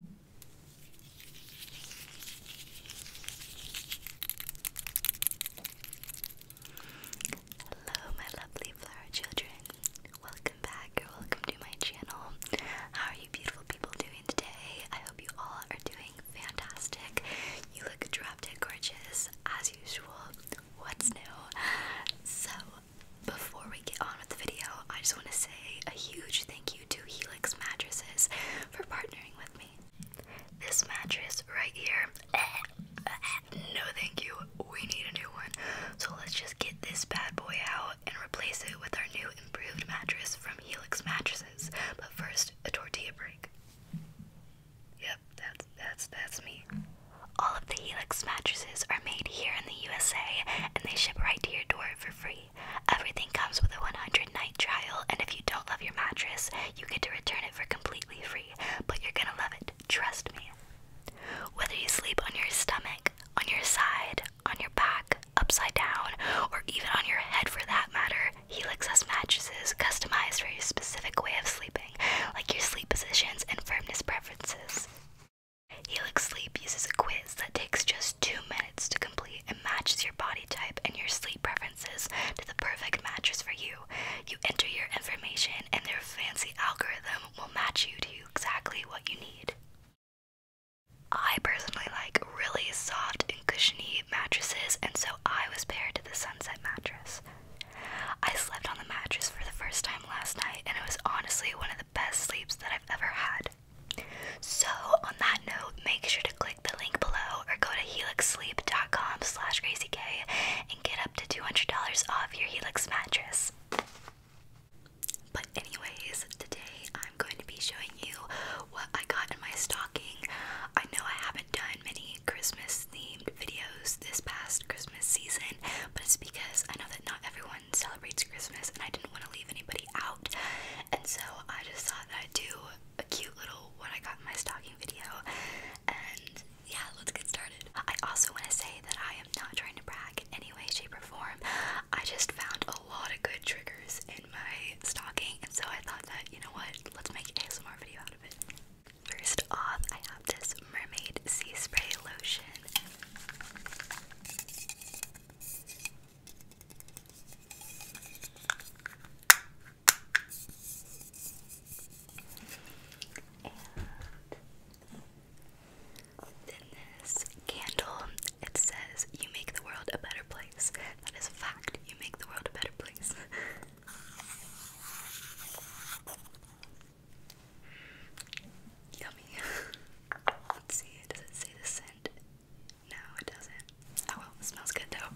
Hello, my lovely flower children. Welcome back welcome to my channel. How are you, beautiful people, doing today? I hope you all are doing fantastic. You look drop dead gorgeous as usual. What's new? So, before we get on with the video, I just want to say a huge thank you you to Helix Mattresses for partnering with me. This mattress right here, no thank you, we need a new one. So let's just get this bad boy out and replace it with our new improved mattress from Helix Mattresses. But first, a tortilla break. Yep, that's that's that's me. All of the Helix mattresses are made here in the USA and they ship right to your door for free. Everything comes with a 100 night trial, and if you don't love your mattress, you get to return it for completely free. But you're gonna love it, trust me. Whether you sleep on your stomach, on your side, on your back, upside down, or even on your head for that matter, Helix has mattresses customized for your specific way of sleeping, like your sleep positions and firmness preferences. Helix Sleep uses a quiz that takes just two minutes to complete and matches your body type and your sleep preferences to the perfect mattress for you. You enter your information, and their fancy algorithm will match you to exactly what you need. I personally like really soft and cushiony mattresses, and so I was paired to the Sunset mattress. I slept on the mattress for the first time last night, and it was honestly one of the best sleeps that I've ever had. So on that note, make sure to click the link below or go to helixsleep.com slash crazyk and get up to $200 off your Helix mattress. But anyways, today I'm going to be showing you what I got in my stocking. I know I haven't done many Christmas themed videos this past Christmas season, but it's because I know that not everyone celebrates Christmas, and I didn't want to leave anybody out. And so I just thought that I'd do a cute little what I got in my stocking video. And yeah, let's get started. I also want to say that I am not trying to brag in any way, shape, or form. I just found a lot of good triggers in my stocking, and so I thought that, you know what, let's make an ASMR video out of it. First off, I have this mermaid sea spray lotion. And this candle, it says, You make the world a better place. That is a fact. You make the world a better place. Yummy. Let's see, does it say the scent? No, it doesn't. Oh well, smells good though.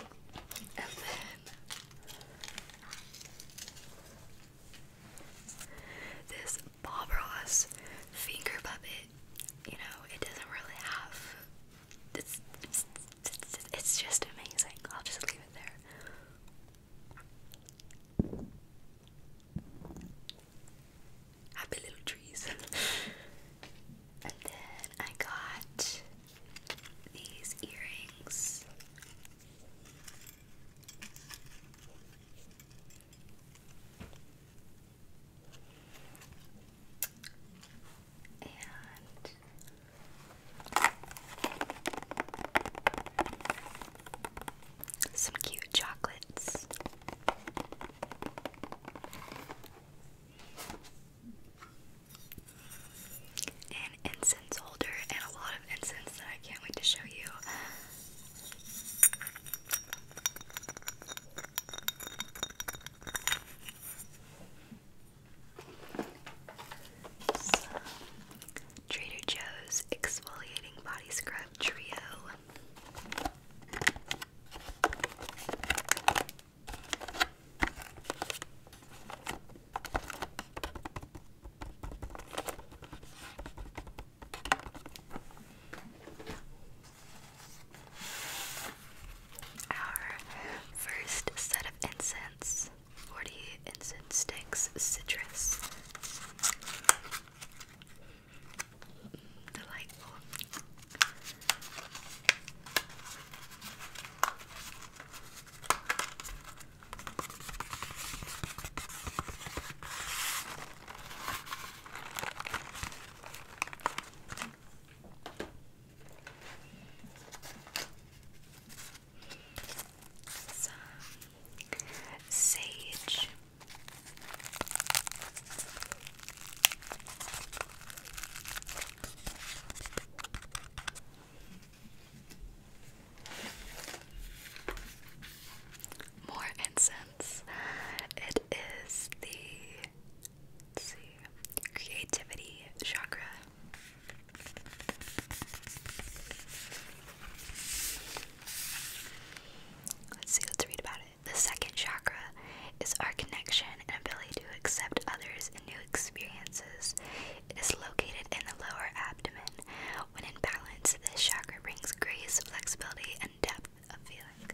And then this Bob Ross finger puppet. You know, it doesn't really have. It's, it's, it's just amazing. I'll just leave it there. Happy little trees. and then I got these earrings. And some cute chocolates. An incense holder and a lot of incense that I can't wait to show you. Trader Joe's Exfoliating Body Scrub Trio. Our first set of incense 40 incense sticks, citrus. Mm, delightful sage. More incense. It is the see, creativity chakra. Let's see, let's read about it. The second chakra is our connection and ability to accept others and new experiences. It is located in the lower abdomen. When in balance, this chakra brings grace, flexibility, and depth of feeling.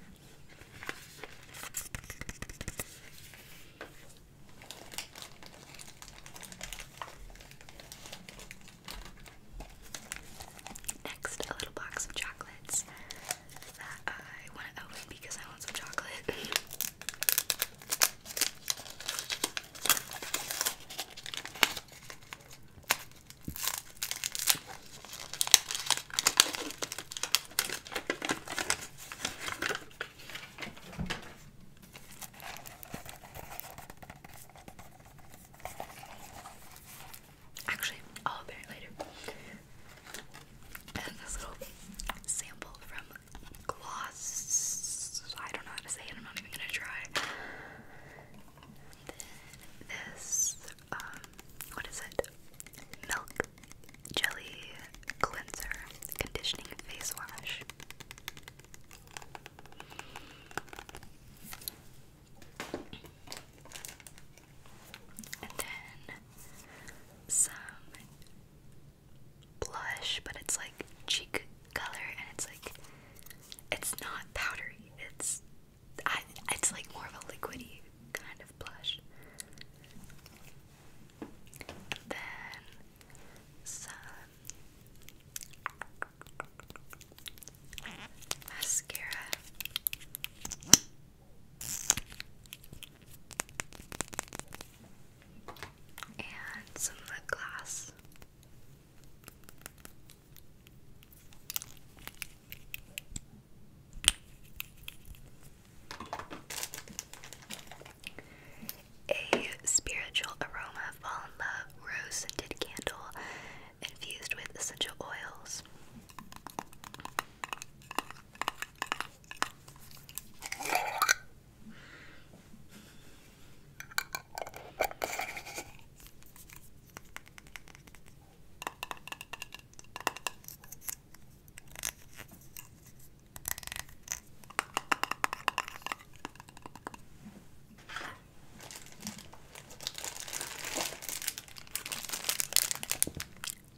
Next, a little box of chocolates that I want to open because I want some chocolate. Actually, I'll open it later. And this little sample from Gloss. I don't know how to say it, I'm not even gonna try. this, um, what is it? Milk Jelly Cleanser Conditioning Face Wash. And then some blush, but it's like cheek color and it's like it's not powdery. It's I it's like more of a liquidy kind of blush. then some mascara. And some lip gloss. A spiritual aroma fall in love rose scented candle infused with essential oils.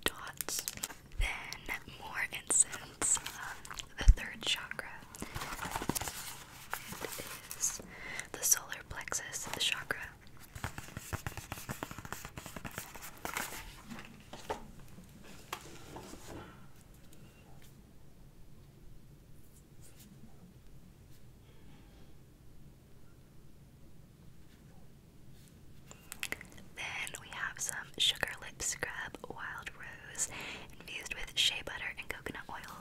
Dots. Then more incense. Um, the third chakra. It is the solar plexus the chakra. Then we have some sugar lip scrub, wild rose, infused with shea butter and coconut oil.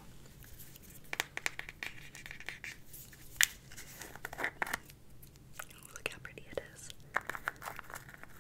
look how pretty it is.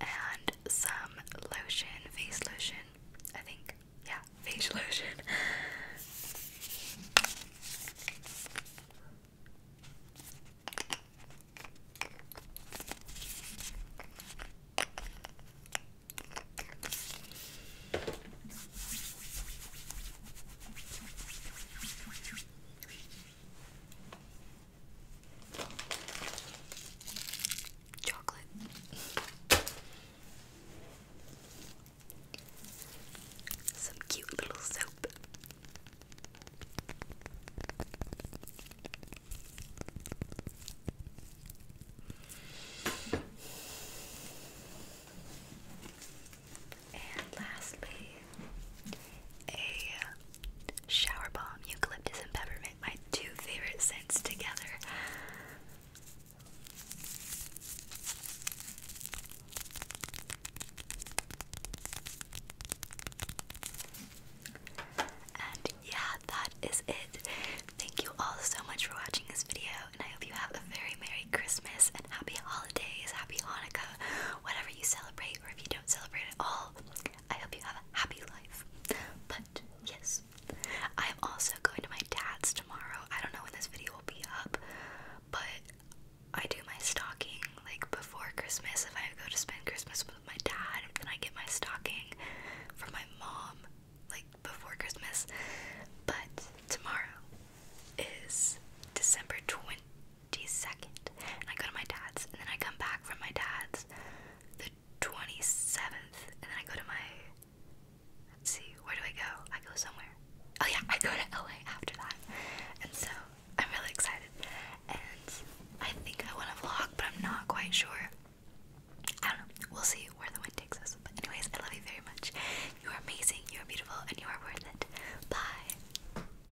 and some lotion, face lotion, I think. Yeah, face lotion. Chocolate. Some cute little soap. And lastly, a shower bomb, eucalyptus and peppermint, my two favorite scents together. And yeah, that is it. Thank you all so much for watching this video, and I hope you have a very Merry Christmas and Happy Holidays, Happy Hanukkah, whatever you celebrate, or if you don't celebrate at all. I hope you have a happy life. But yes, I am also going to my dad's tomorrow. I don't know when this video will be up, but I do my stocking like before Christmas. If I go to spend Christmas with my dad, then I get my stocking from my mom like before Christmas. But tomorrow is December 20 22nd, and I go to my dad's, and then I come back from my dad's the 27th, and then I go to my. Let's see, where do I go? I go somewhere. Oh, yeah, I go to LA after that. And so I'm really excited. And I think I want to vlog, but I'm not quite sure. I don't know. We'll see where the wind takes us. But, anyways, I love you very much. You are amazing, you are beautiful, and you are worth it. Bye.